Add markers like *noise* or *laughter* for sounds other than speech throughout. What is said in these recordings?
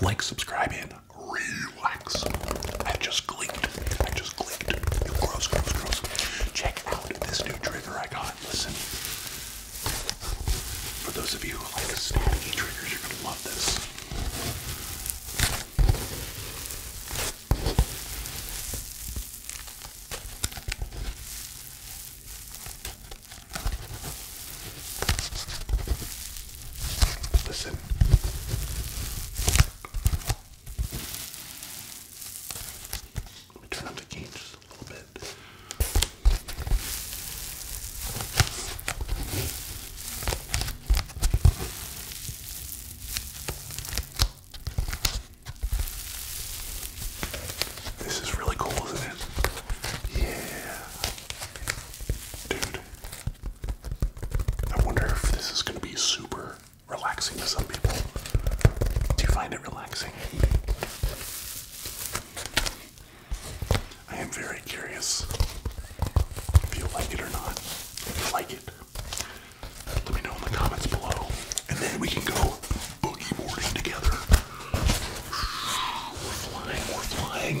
Like, subscribe, and relax. I just clicked. I just clicked. Gross, gross, gross. Check out this new trigger I got. Listen. For those of you who like snappy triggers, you're gonna love this. Listen. Let me turn up the gain just a little bit. This is really cool, isn't it? Yeah. Dude, I wonder if this is gonna be super relaxing to some people. Do you find it relaxing? I am very curious if you like it or not. If you like it, let me know in the comments below, and then we can go boogie boarding together. We're flying, we're flying.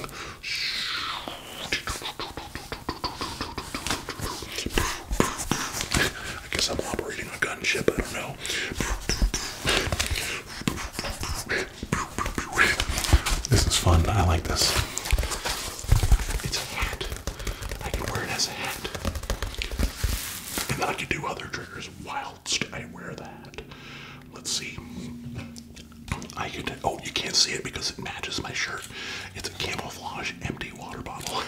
I guess I'm operating a gunship, I don't know. This is fun, I like this. It's a hat. I can wear it as a hat. And then I can do other triggers whilst I wear that. Let's see. I could. Oh, you can't see it because it matches my shirt. It's a camouflage empty water bottle.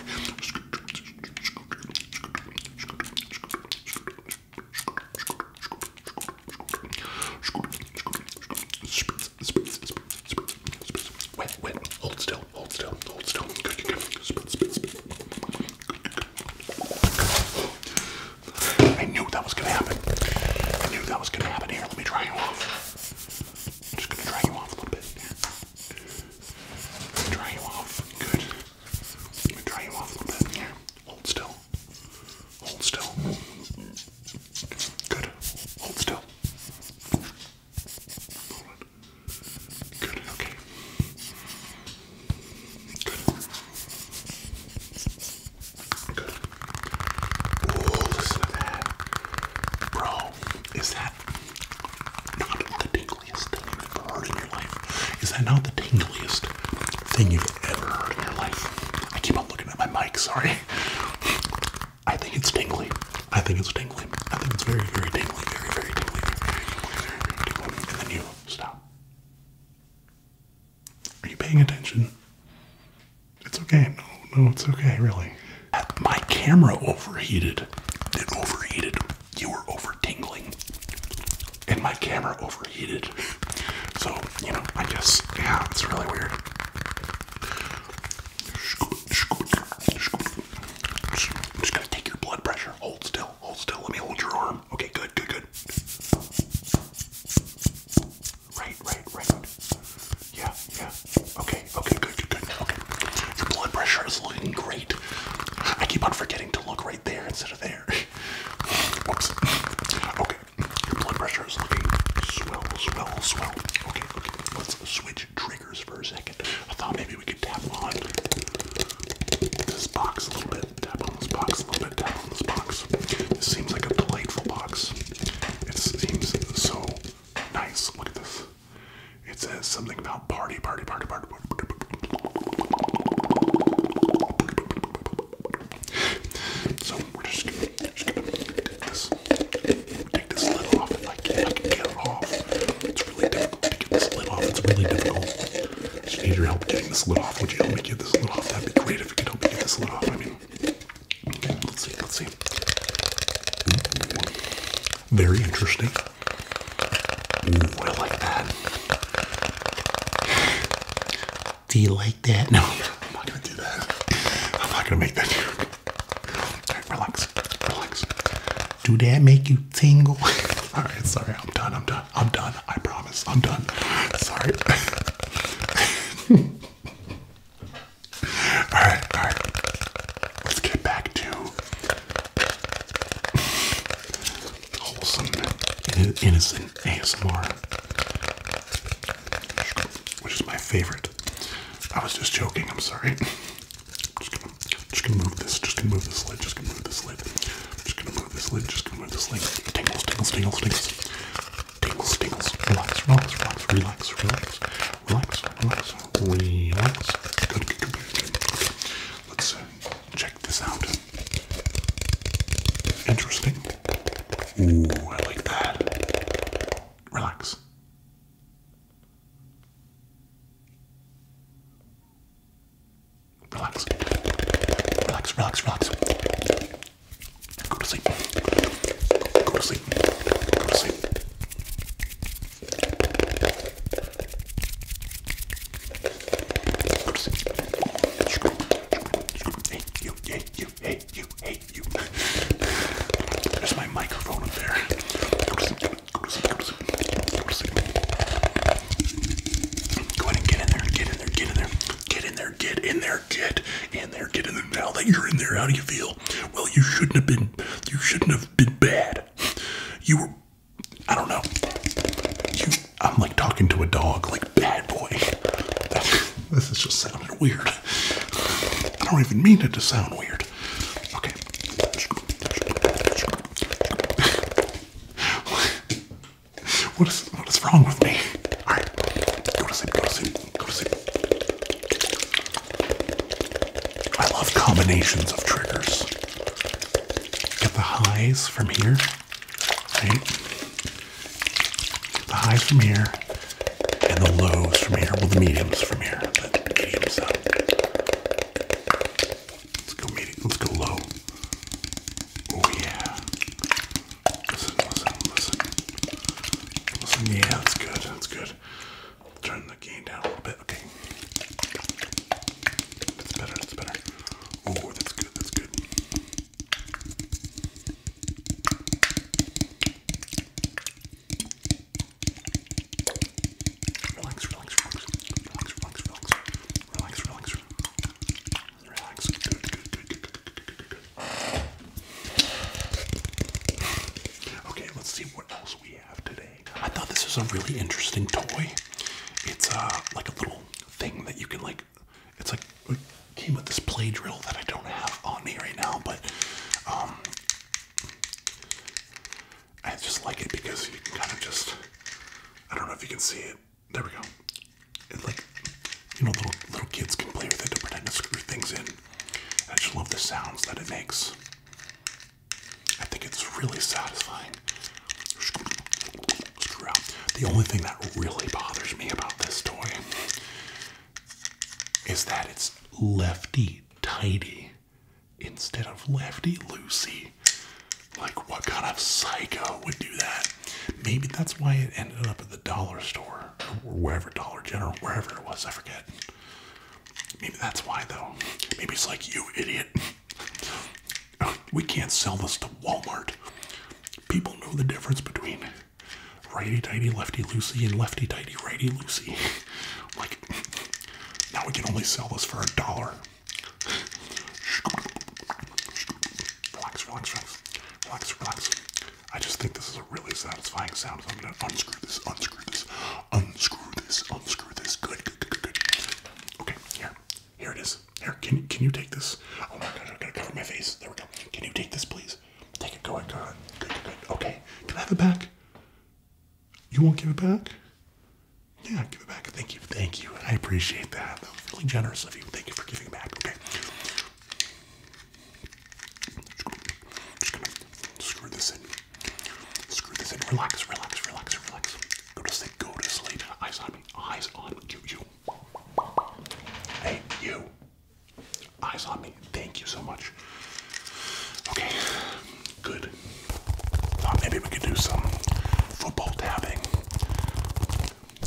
Wait, wait. Hold still. Hold still. Hold still. I knew that was gonna happen. I knew that was gonna happen. Here, let me dry you off. I'm just gonna dry you off a little bit. Dry you off. Good. I'm dry you off a little bit. Here. Hold still. Hold still. Good. Hold still. Hold it. Good. Okay. Good. listen to that. Bro, is that not the tingliest thing you've ever heard in your life? Is that not the tingliest thing you've ever heard in your life? I keep on looking at my mic, sorry. I think it's tingly. I think it's tingly. I think it's very, very tingly. Very, very tingly. very, very tingly. And then you stop. Are you paying attention? It's okay. No, no, it's okay, really. My camera overheated. It overheated. You were over tingling. And my camera overheated. So, you know, I guess, yeah, it's really weird. I'm just gonna take your blood pressure. Hold still. Hold still. Let me hold your arm. Okay, good, good, good. Right, right, right. Yeah, yeah. Okay, okay, good, good, good. Okay. Your blood pressure is looking great. I keep on forgetting to look right there instead of there. Oops. Okay. Your blood pressure is looking swell, swell, swell. Okay, okay. Let's switch triggers for a second. I thought maybe we could you tap on this box a little bit, tap on this box a little bit, tap on this box. This seems like a delightful box. It seems so nice. Look at this. It says something about party, party, party, party. So we're just gonna, just gonna take this, take this lid off. If I can, I can get it off. It's really difficult to get this lid off. It's really difficult. Just need your help getting this lid off. Would you help me get this lid off? That'd be great if you could help me get this lid off. I mean, let's see, let's see. very interesting. Ooh, I like that. Do you like that? No, *laughs* I'm not gonna do that. I'm not gonna make that relax, relax. Do that make you tingle? *laughs* All right, sorry, I'm done. I'm done. I'm done. I promise. I'm done. Sorry. *laughs* all right, all right. Let's get back to wholesome, innocent ASMR, which is my favorite. I was just joking. I'm sorry. Just gonna, just gonna move this. Just gonna move this lid. Just gonna move this lid. Just gonna move this lid. Just gonna move this lid. Tingles, tingles, tingles, tingles. Tingles, tingles. Relax, relax, relax, relax, relax, relax, relax, relax. Good, good, good, good. Okay. Let's uh, check this out. Interesting. Ooh, I like that. Relax. Relax. Relax, relax, relax. Go to sleep. Go, go to sleep. Go to sleep. Go to sleep. Hey, you, hey, you, hey, you, hey, you. There's my microphone up there. Go to sleep. Go ahead and get in there, get in there, get in there, get in there, get in there, get in there, Now that you're in there, how do you feel? Well, you shouldn't have been, you shouldn't have been bad. You were, I don't know. I'm like talking to a dog, like bad boy. this is just sounding weird. I don't even mean it to sound weird. Okay, *laughs* what is what is wrong with me? All right, go to sleep. Go to sleep. Go to sleep. I love combinations of triggers. Get the highs from here, right? The highs from here, and the lows from here, well the mediums from here, the medium side. Uh, let's go medium, let's go low. Oh yeah. Listen, listen, listen. yeah, that's good, that's good. turn the gain down a little bit, okay. That's better, that's better. Oh, that's good, that's good. Relax, relax, relax, relax, relax, relax, relax, Okay, let's see what else we have today. I thought this was a really interesting toy. It's uh like a little thing that you can like. It's like came with this play drill that I don't have on me right now, but um, I just like it because you can kind of just, I don't know if you can see it. There we go. It's like, you know, little, kids can play with it to pretend to screw things in. I just love the sounds that it makes. I think it's really satisfying. Screw out. The only thing that really bothers me about this toy is that it's lefty tighty instead of lefty loosey. Like, what kind of psycho would do that? Maybe that's why it ended up at the dollar store or wherever, Dollar General, wherever it was, I forget. Maybe that's why, though. Maybe it's like, you idiot. *laughs* We can't sell this to Walmart. People know the difference between righty tighty, lefty loosey, and lefty tighty, righty loosey. *laughs* like, now we can only sell this for a dollar. Relax, relax, relax, relax, I just think this is a really satisfying sound, I'm gonna unscrew this, unscrew this, unscrew this, unscrew this. Good, good, good, good. Okay, here, here it is. Here, can can you take this? I'm oh gonna cover my face. There we go. Can you take this, please? Take it, go on, go on. Good, good, Okay, can I have it back? You won't give it back? Yeah, give it back. Thank you, thank you. I appreciate that. That was really generous of you. Thank you for giving it back. Okay. Just gonna screw this in. Screw this in. Relax, relax, relax, relax. Go to sleep. Go to sleep. Eyes on me. Eyes on You. Hey, you. Eyes on me. Thank you so much. Okay, good. Thought maybe we could do some football tapping.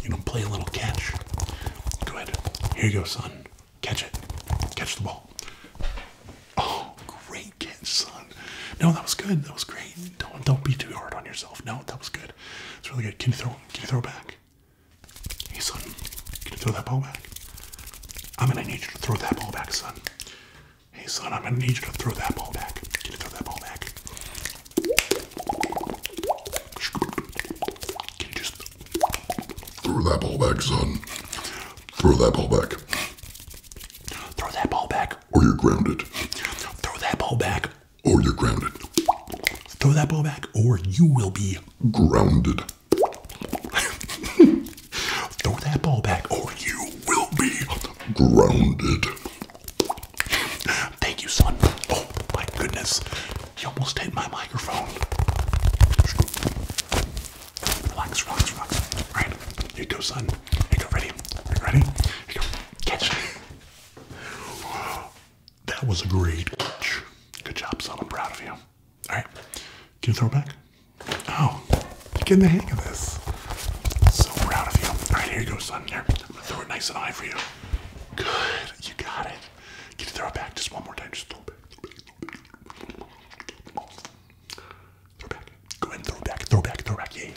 You know, play a little catch. Go ahead. Here you go, son. Catch it. Catch the ball. Oh, great catch, son. No, that was good. That was great. Don't don't be too hard on yourself. No, that was good. It's really good. Can you throw? Can you throw back? Hey, son, can you throw that ball back? I'm gonna need you to throw that ball back, son. Hey, son, I'm gonna need you to throw that ball back. Can you throw that ball back? Can you just throw that ball back, son? Throw that ball back. Throw that ball back. Or you're grounded. Throw that ball back, or you're grounded. Throw that ball back, or you will be grounded. *laughs* Throw that ball back, or you will be grounded. Thank you, son. Oh, my goodness. You almost hit my microphone. Relax, relax, relax. All right, here you go, son. Here you go, ready? ready? Here you go. Catch. That was a great Good job, son. I'm proud of you. All right. Can you throw it back? Oh, you're getting the hang of this. So proud of you. All right, here you go, son. Here. I'm going to throw it nice and high for you. Good. You got it. Can you throw it back just one more time? Just throw it back. Throw back. Go ahead and throw back. Throw back. Throw back. Yeah.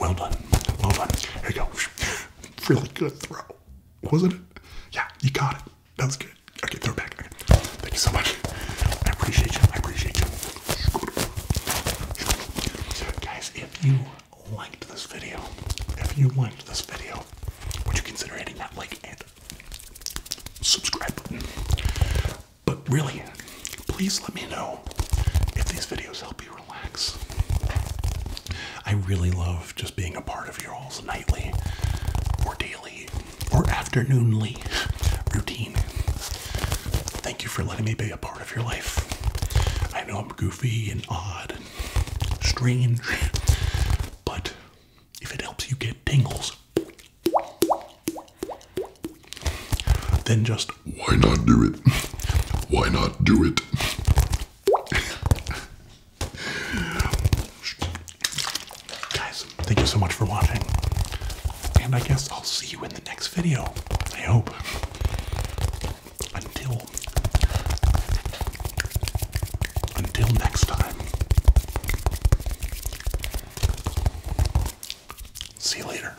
Well done. Well done. Here you go really good throw, wasn't it? Yeah, you got it. That was good. Okay, throw it back. Okay. Thank you so much. I appreciate you. I appreciate you. Guys, if you liked this video, if you liked this video, would you consider hitting that like and subscribe button? But really, please let me know if these videos help relax. I really love just being a part of your all's nightly or daily or afternoonly routine. Thank you for letting me be a part of your life. I know I'm goofy and odd and strange, but if it helps you get tingles, then just why not do it? Why not do it? Guys, thank you so much for watching. And I guess I'll see you in the next video. I hope. Until until next time. See you later.